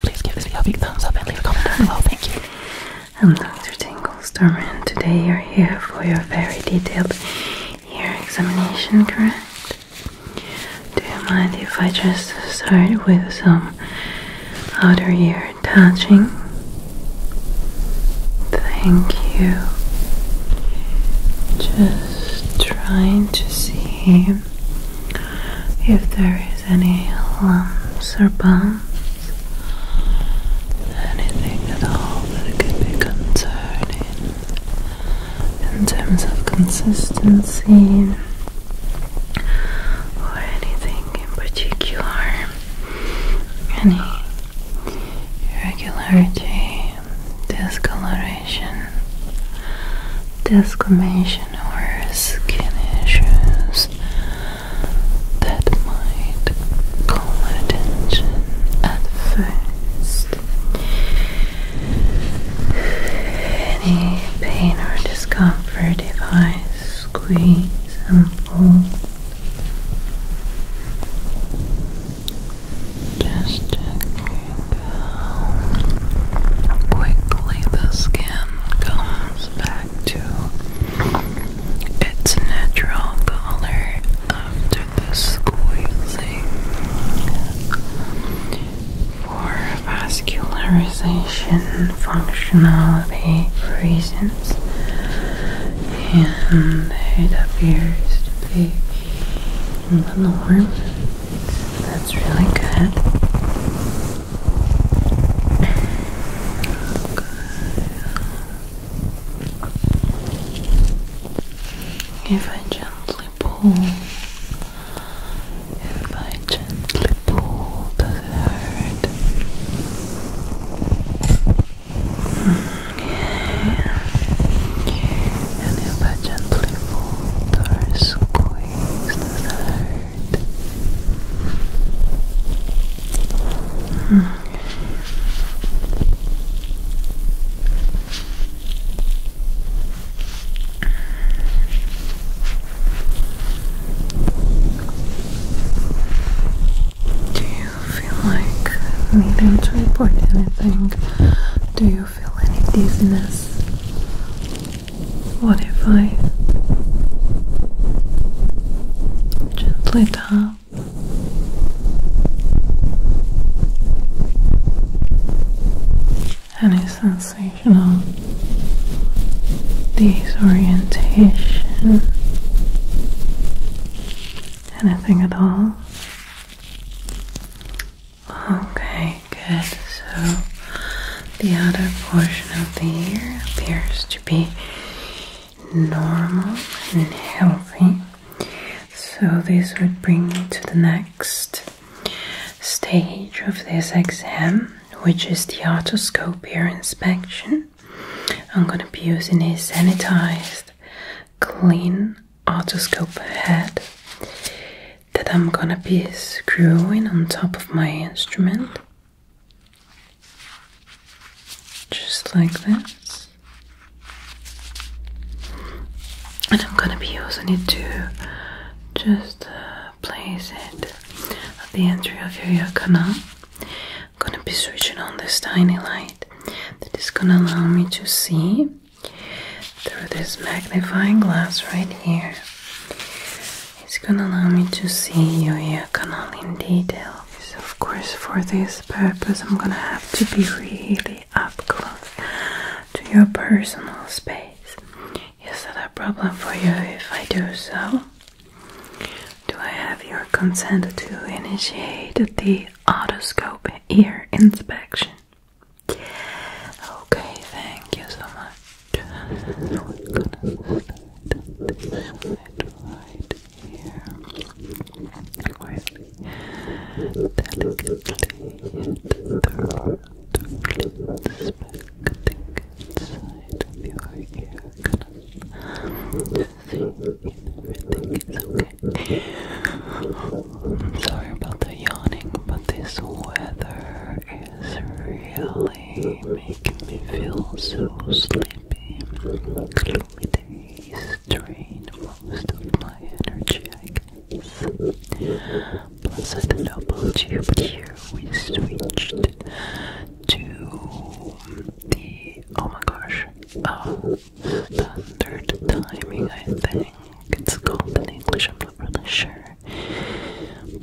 Please give this video a big thumbs up and leave a comment down below. Thank you. I'm Dr. Tinglestorm and today you're here for your very detailed ear examination, correct? Do you mind if I just start with some outer ear touching? Thank you. Just trying to see if there is any lumps or bumps, anything at all that could be concerning in terms of consistency or anything in particular, any irregularity, discoloration, discoloration or skin issues that might call attention at first. Any pain or discomfort if I squeeze and pull. Just checking how quickly the skin comes back to its natural color after the squeezing for vascularization functionality reasons and it appears to be a little warm. That's really good. If I gently pull, if I gently pull, does it hurt? And if I gently pull does it hurt? Okay. Do you feel like needing to report anything? Do you feel any dizziness? What if I gently tap? Any sensation disorientation? Anything at all? Okay, good. So the outer portion of the ear appears to be normal and healthy. So this would bring me to the next stage of this exam, which is the otoscope ear inspection. I'm going to be using a sanitized, clean otoscope head that I'm gonna be screwing on top of my instrument, just like this. And I'm gonna be using it to just uh, place it at the entry of your ear canal. I'm gonna be switching on this tiny light that is gonna allow me to see through this magnifying glass right here. It's gonna allow me to see your ear canal in detail. of course for this purpose I'm gonna have to be really up close to your personal space. Is that a problem for you if I do so? Do I have your consent to initiate the otoscope ear inspection? Okay, thank you so much. We're gonna start this right here. Quietly, delicately, and thoroughly inspecting inside of your ear canal. everything is okay. I'm sorry about the yawning, but this weather is really making me feel so sleepy. They drain most of my energy, I guess. Plus, I don't know about you, here we switched to the oh my gosh, uh, standard timing, I think. It's called in English, I'm not really sure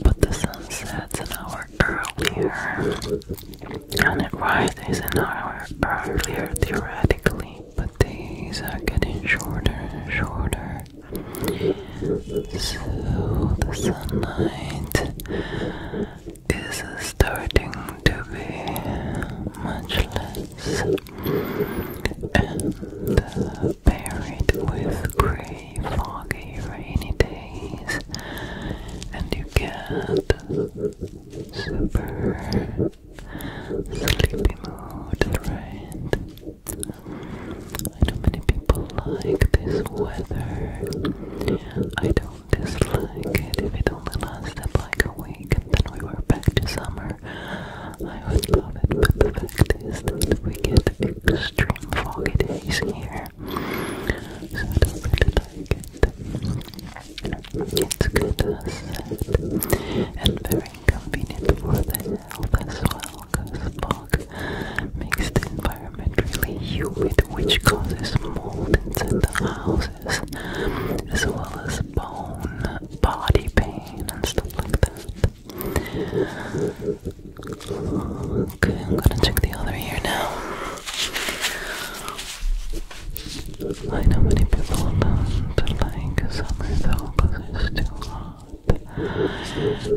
but the sun sets an hour earlier and it rises an hour earlier theoretically, but days are getting shorter and shorter. So the sunlight is starting to be much less and uh, with gray foggy, rainy days, and you get super sleepy mood, right? I many people like this weather. I don't dislike it if it only lasted like a week and then we were back to summer. I would love it, fact is that we get extreme foggy days here. So don't really like it. It's good as said. And very inconvenient for the health as well, because fog makes the environment really humid, which causes mold inside the houses, as well as bone, body pain, and stuff like that. Okay, I'm gonna check the other ear now. I know many people don't like summer though because it's too hot.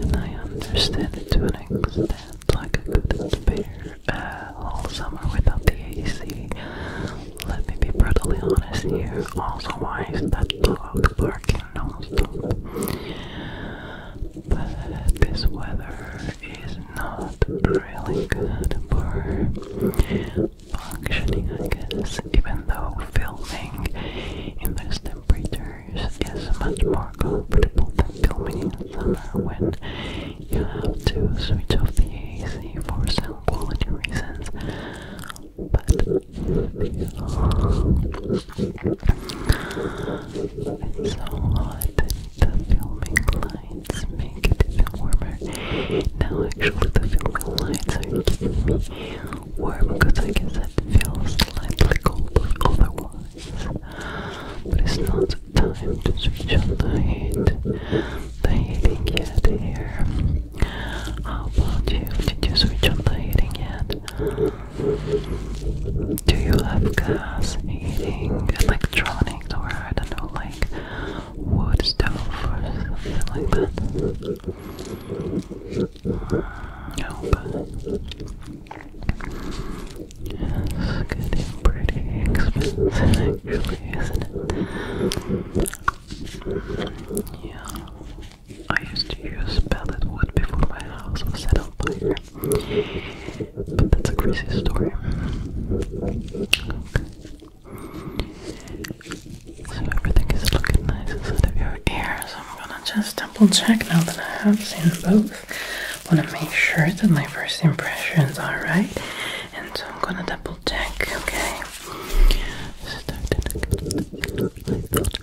And I understand it to an extent, like I couldn't bear uh, all summer without the AC. Let me be brutally honest here. Also, why is that dog barking non but this weather is not really good for functioning, I guess, even though filming in these temperatures is much more comfortable than filming in summer when you have to switch off the AC for sound quality reasons but it's so hot that the filming lights make it even warmer. Now actually the filming lights are keeping me warm because I guess it feels slightly cold otherwise. But it's not time to switch on the heat. The heating yet here. How about you? Did you switch on the heating yet? Do you have gas heating, electronics, or I don't know, like wood stove or something like that? No, but it's getting pretty expensive actually, isn't it? Yeah. I used to use pallet wood before my house was set on fire. But that's a crazy story. So everything is looking nice inside of your ears. I'm gonna just double check now that I have seen both. Wanna make sure that my first impressions are right. And so I'm gonna double check, okay?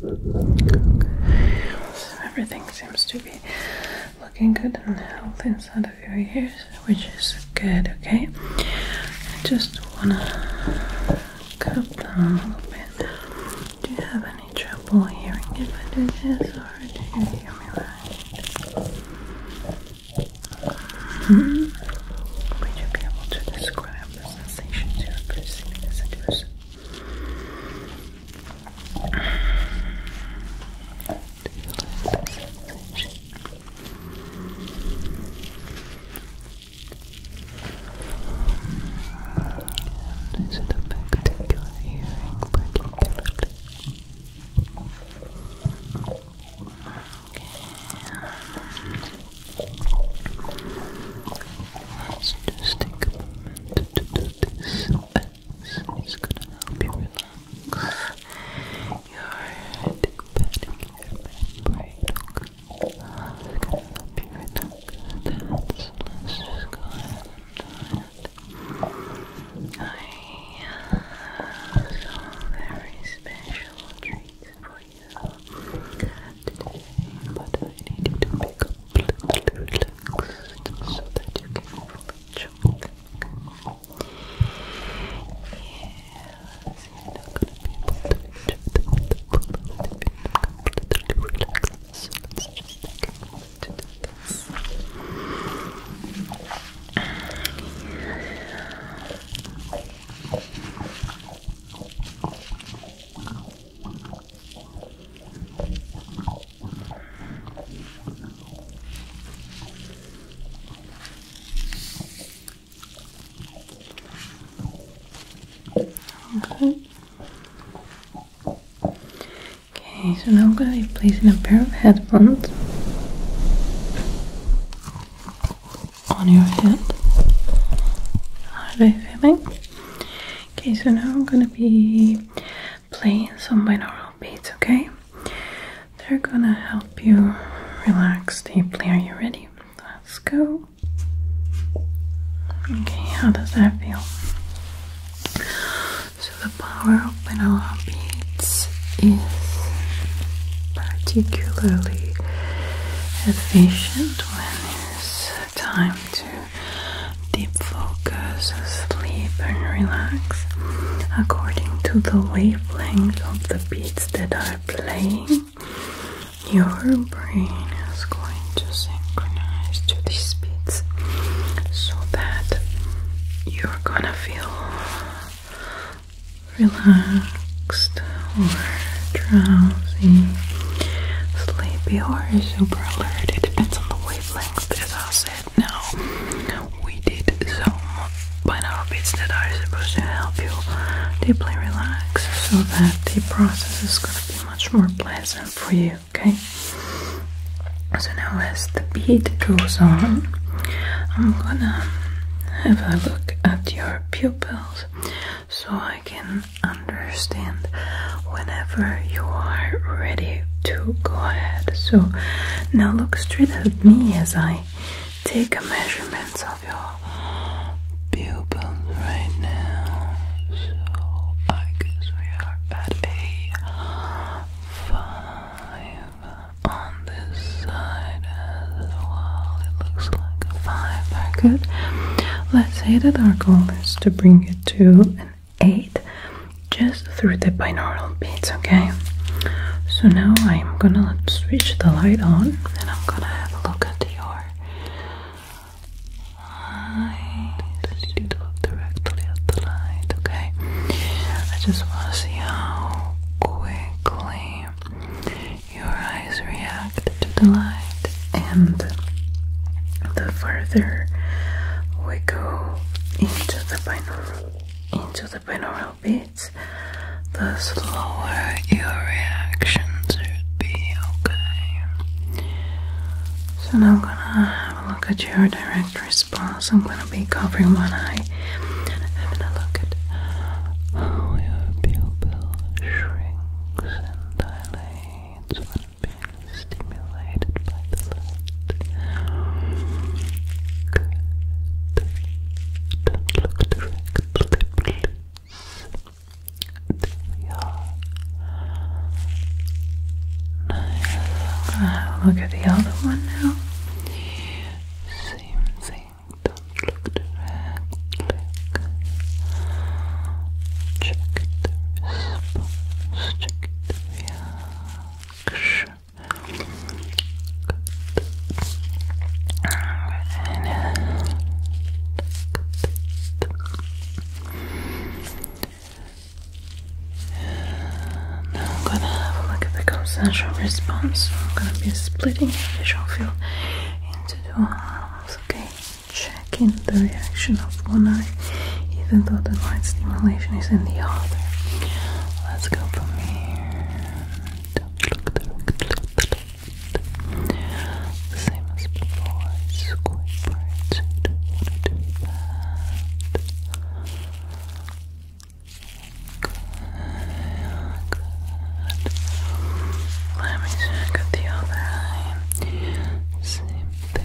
So everything seems to be looking good and healthy inside of your ears, which is good, okay? I just wanna cut down a little bit. Do you have any trouble hearing if I do this or do you hear me right? Mm-hmm. Would you be able to describe the sensations you're perceiving as it was is it a particular hearing, particularly? Okay. Let's just take a moment to do this is gonna help you relax your headache padding your membrane, okay? Uh, it's gonna help you relax let's just go ahead I have some very special treats for you today, but I need to pick relaxed so that you can enjoy Yes, you're not going to be able to enjoy the full if you're not completely relaxed. So let's just take a moment to do this. Yes. Okay. Okay, so now I'm going to be placing a pair of headphones on your head. How are they feeling? Okay, so now I'm going to be play some binaural beats, okay? They're gonna help you relax deeply. Are you ready? Let's go. Okay, how does that feel? So, the power of binaural beats is particularly efficient when it's time to deep focus, sleep, and relax according to the wavelength of the beats that are playing. Your brain is going to synchronize to these beats so that you're gonna feel relaxed or drowsy, sleepy, or super alert. It depends on the wavelength, as I said. Now, we did some binaural bits that are supposed to help you deeply relax so that the process is going to be much more pleasant for you, okay? So now, as the beat goes on, I'm gonna have a look at your pupils so I can understand whenever you are ready to go ahead. So now look straight at me as I take measurements of your pupil right now. So I guess we are at a five on this side as well. It looks like a five. good. Let's say that our goal is to bring it to 8 just through the binaural beats, okay? So now I'm gonna switch the light on and I'm gonna have a look at your eyes. You need look directly at the light, okay? I just wanna see how quickly your eyes react the light, and the further we go into the binaural, into the binaural beats, the slower your reactions should be. Okay. So now I'm gonna have a look at your direct response. I'm gonna be covering one eye and having a look at your pupil shrinks and dilates being stimulated by the light. Don't look directly, please. There we look at the other one now. Same thing. Don't look directly. Check the now I'm gonna have a look at the consensual response. So I'm gonna be splitting the visual field into two halves, okay? checking the reaction of one eye, even though the light stimulation is in the other. Let's go from here. look, do look, do same as before. Squid birds. So you don't want to Good, good. Let me check at the other eye. Same thing.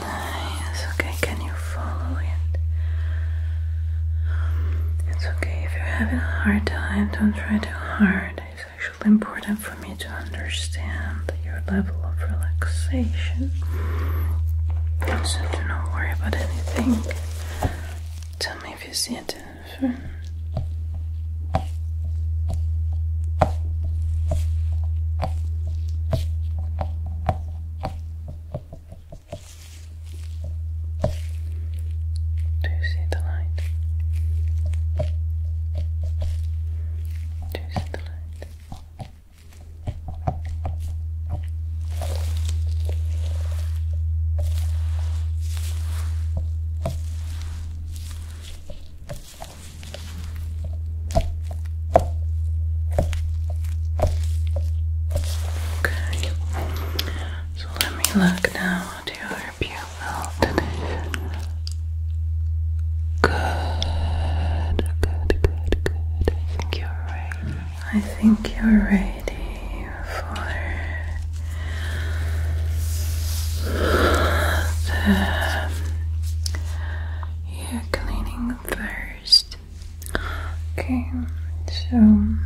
Nice. Okay, can you follow it? it's okay if you're having a hard time, don't try too hard. It's actually important for me to understand your level of relaxation. So do not worry about anything. Tell me if you see it different. Do you see the light? Do you see the light? Okay. So let me look now at your pupil Good, good, good, good. I think you're ready. I think you're ready for the ear cleaning first. Okay, so I'm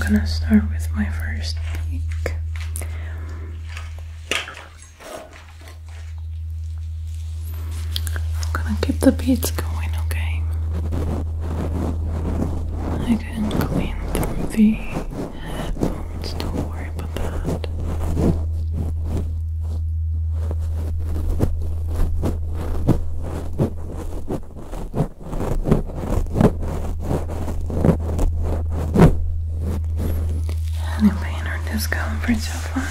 gonna start with my first peak. I'm gonna keep the beats going, okay? I can clean the headphones, don't worry about that. Any pain or discomfort so far?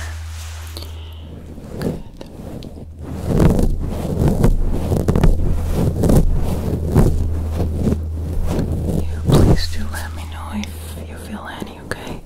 Good. You please do let me know if you feel any, okay?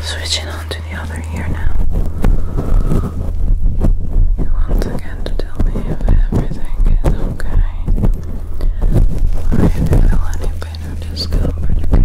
Switching on to the other ear now. You once again to tell me if everything is okay. Or if you feel bit of discomfort, okay? Okay,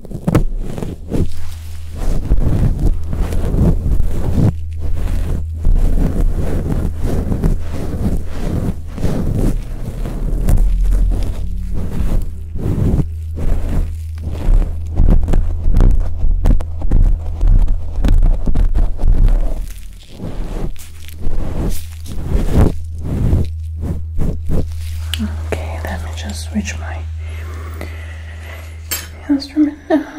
Okay, let me just switch my the instrument now.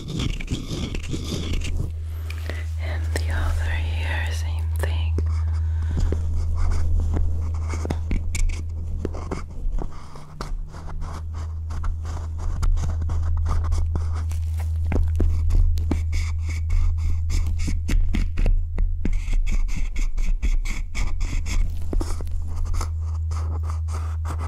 And the other ear, same thing.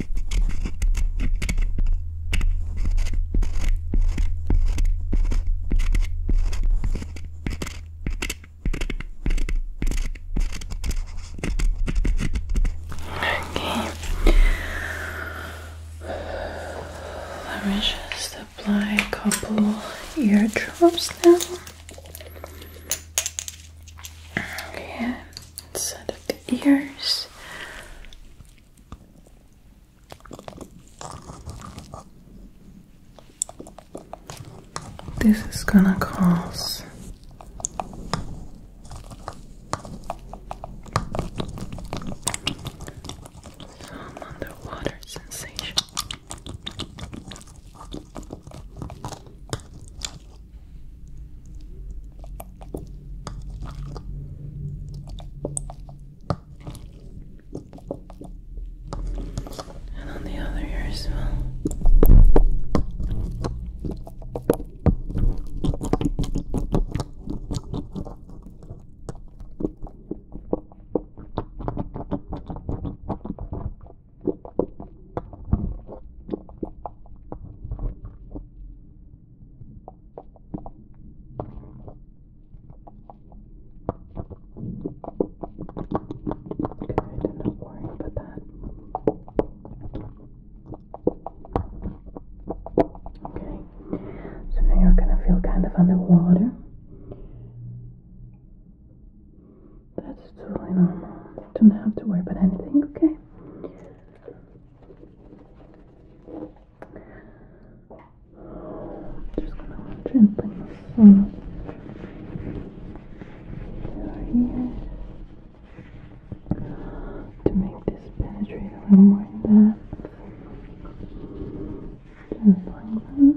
Okay. Let me just apply a couple drops now. Okay inside of the ears. This is gonna cause some underwater sensation. And on the other ear as well. Good, I'm not worrying about that. Okay, so now you're gonna feel kind of underwater. That's totally normal. Don't have to worry about anything, okay? just gonna gently massage your ear to make this penetrate a little more in there. Just like that.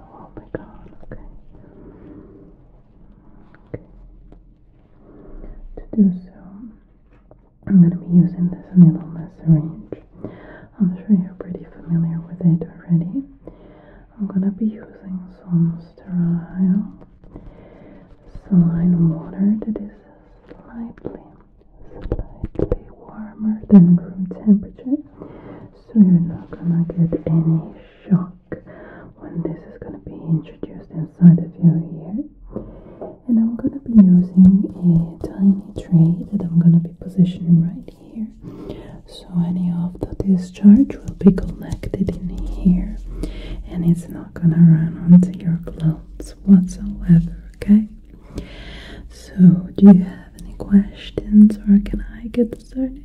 Oh to do so, I'm going to be using this needle in syringe. I'm sure you're pretty familiar with it already. I'm going to be using some sterile saline water that is slightly, slightly warmer than room temperature so you're not gonna get any shock when this is gonna be introduced inside of your ear. And I'm gonna be using a tiny tray that I'm gonna be positioning right here. So any of the discharge will be connected in here and it's not gonna run onto your clothes whatsoever, okay? So do you have have any questions or can I get started?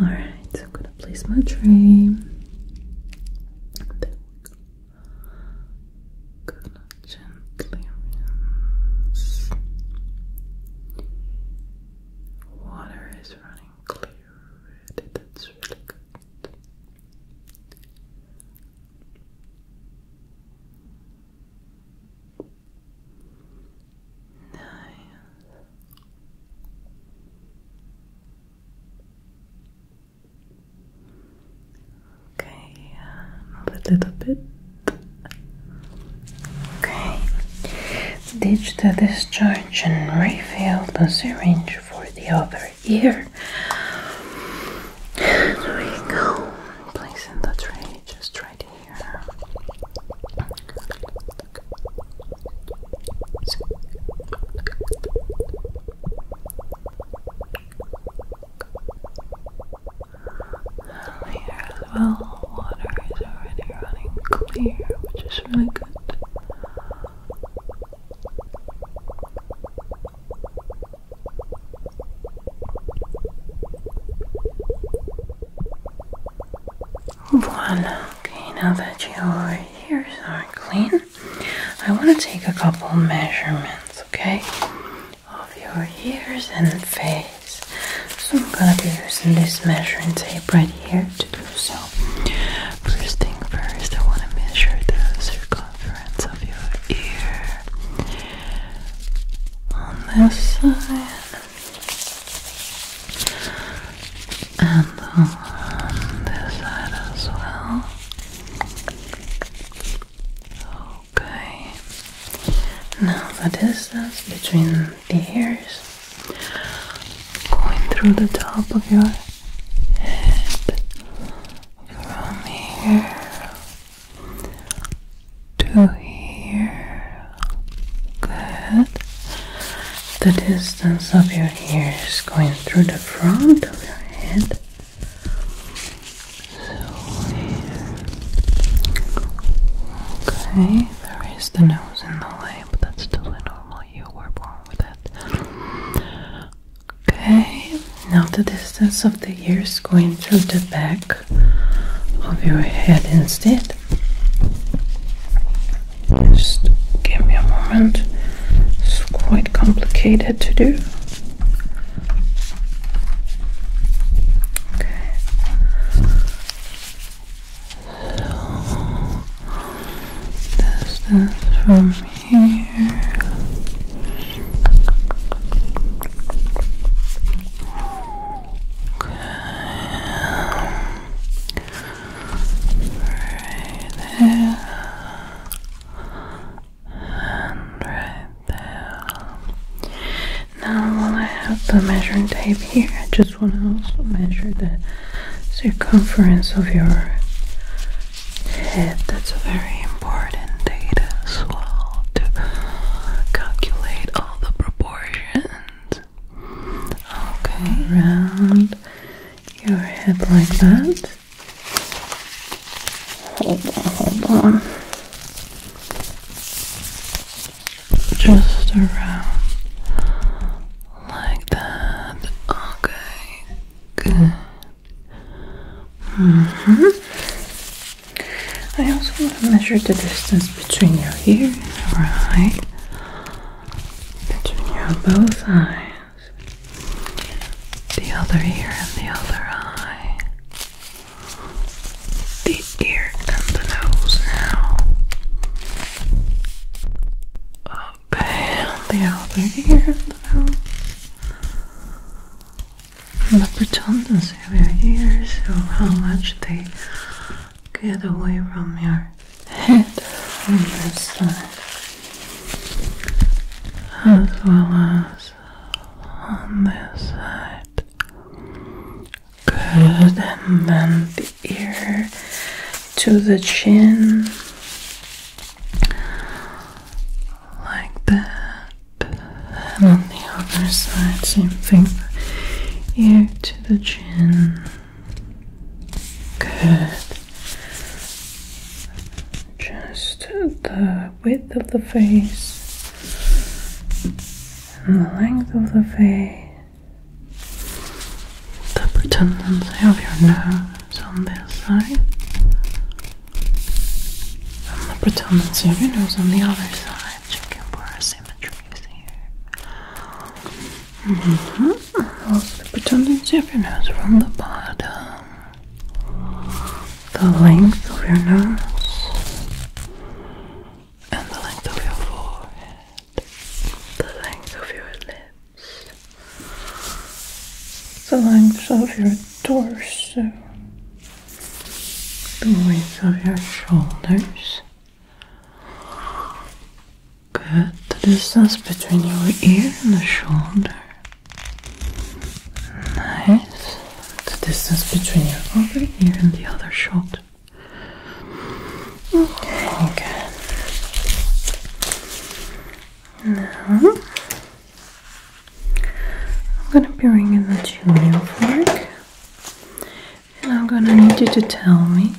Alright, I'm gonna place my tray. There we go. Gonna gently Water is running clear that's really good. Nice. Okay, uh, move a little bit. Okay. Ditch the discharge and refill the syringe for the other ear. There we go. Place the tray just right here. And here as well, water is already running clear, which is really good. One. Okay, now that your ears are clean, I want to take a couple measurements, okay? Of your ears and face. So I'm gonna be using this measuring tape right here to do so. First thing first, I want to measure the circumference of your ear on this side and on this side as well. Okay, now the distance between the ears going through the top of your head from here to here. Good. The distance of your ears going through the front of your head. Okay, there is the nose in the way, but that's totally normal. You were born with it. Okay, now the distance of the ears going through the back back of your head instead. Just give me a moment. It's quite complicated to do. Okay. distance from here right there and right there. Now, while I have the measuring tape here, I just want to also measure the circumference of your head. That's very important data as well to calculate all the proportions. Okay, around your head like that. Hold on, hold on. Just around like that. Okay, good. -hmm. I also want to measure the distance between your ear and your eye, between your both eyes, the other ear and the other eye, the ear and the nose now. Okay, the other ear and the nose the preponderance area ears, so how much they get away from your head from this side, as well as on this side. Good, and then the ear to the chin, like that and on the other side, same thing ear to the chin. Good. Just the width of the face and the length of the face. The protuberancy of your nose on this side. And the protuberancy of your nose on the other side much camera symmetries here. Also, the mm-hmm. predominance of your nose from the bottom, the length of your nose, and the length of your forehead, the length of your lips, the length of your torso the width of your shoulders. Good. The distance between your ear and the shoulder. Nice. The distance between your other ear and the other shoulder. Okay, good. Now I'm gonna be ringing the chimney fork, and I'm gonna need you to tell me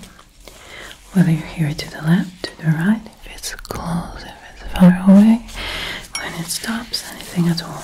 whether you are here to the left, to the right, if it's close, if it's far away, when it stops, anything at all.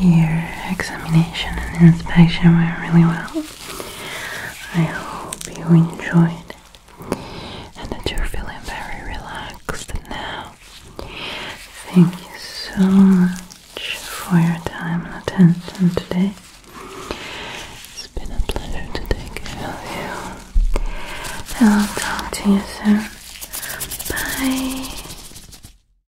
your examination and inspection went really well. I hope you enjoyed and that you're feeling very relaxed now. Thank you so much for your time and attention today. It's been a pleasure to take care of you. And I'll talk to you soon. Bye.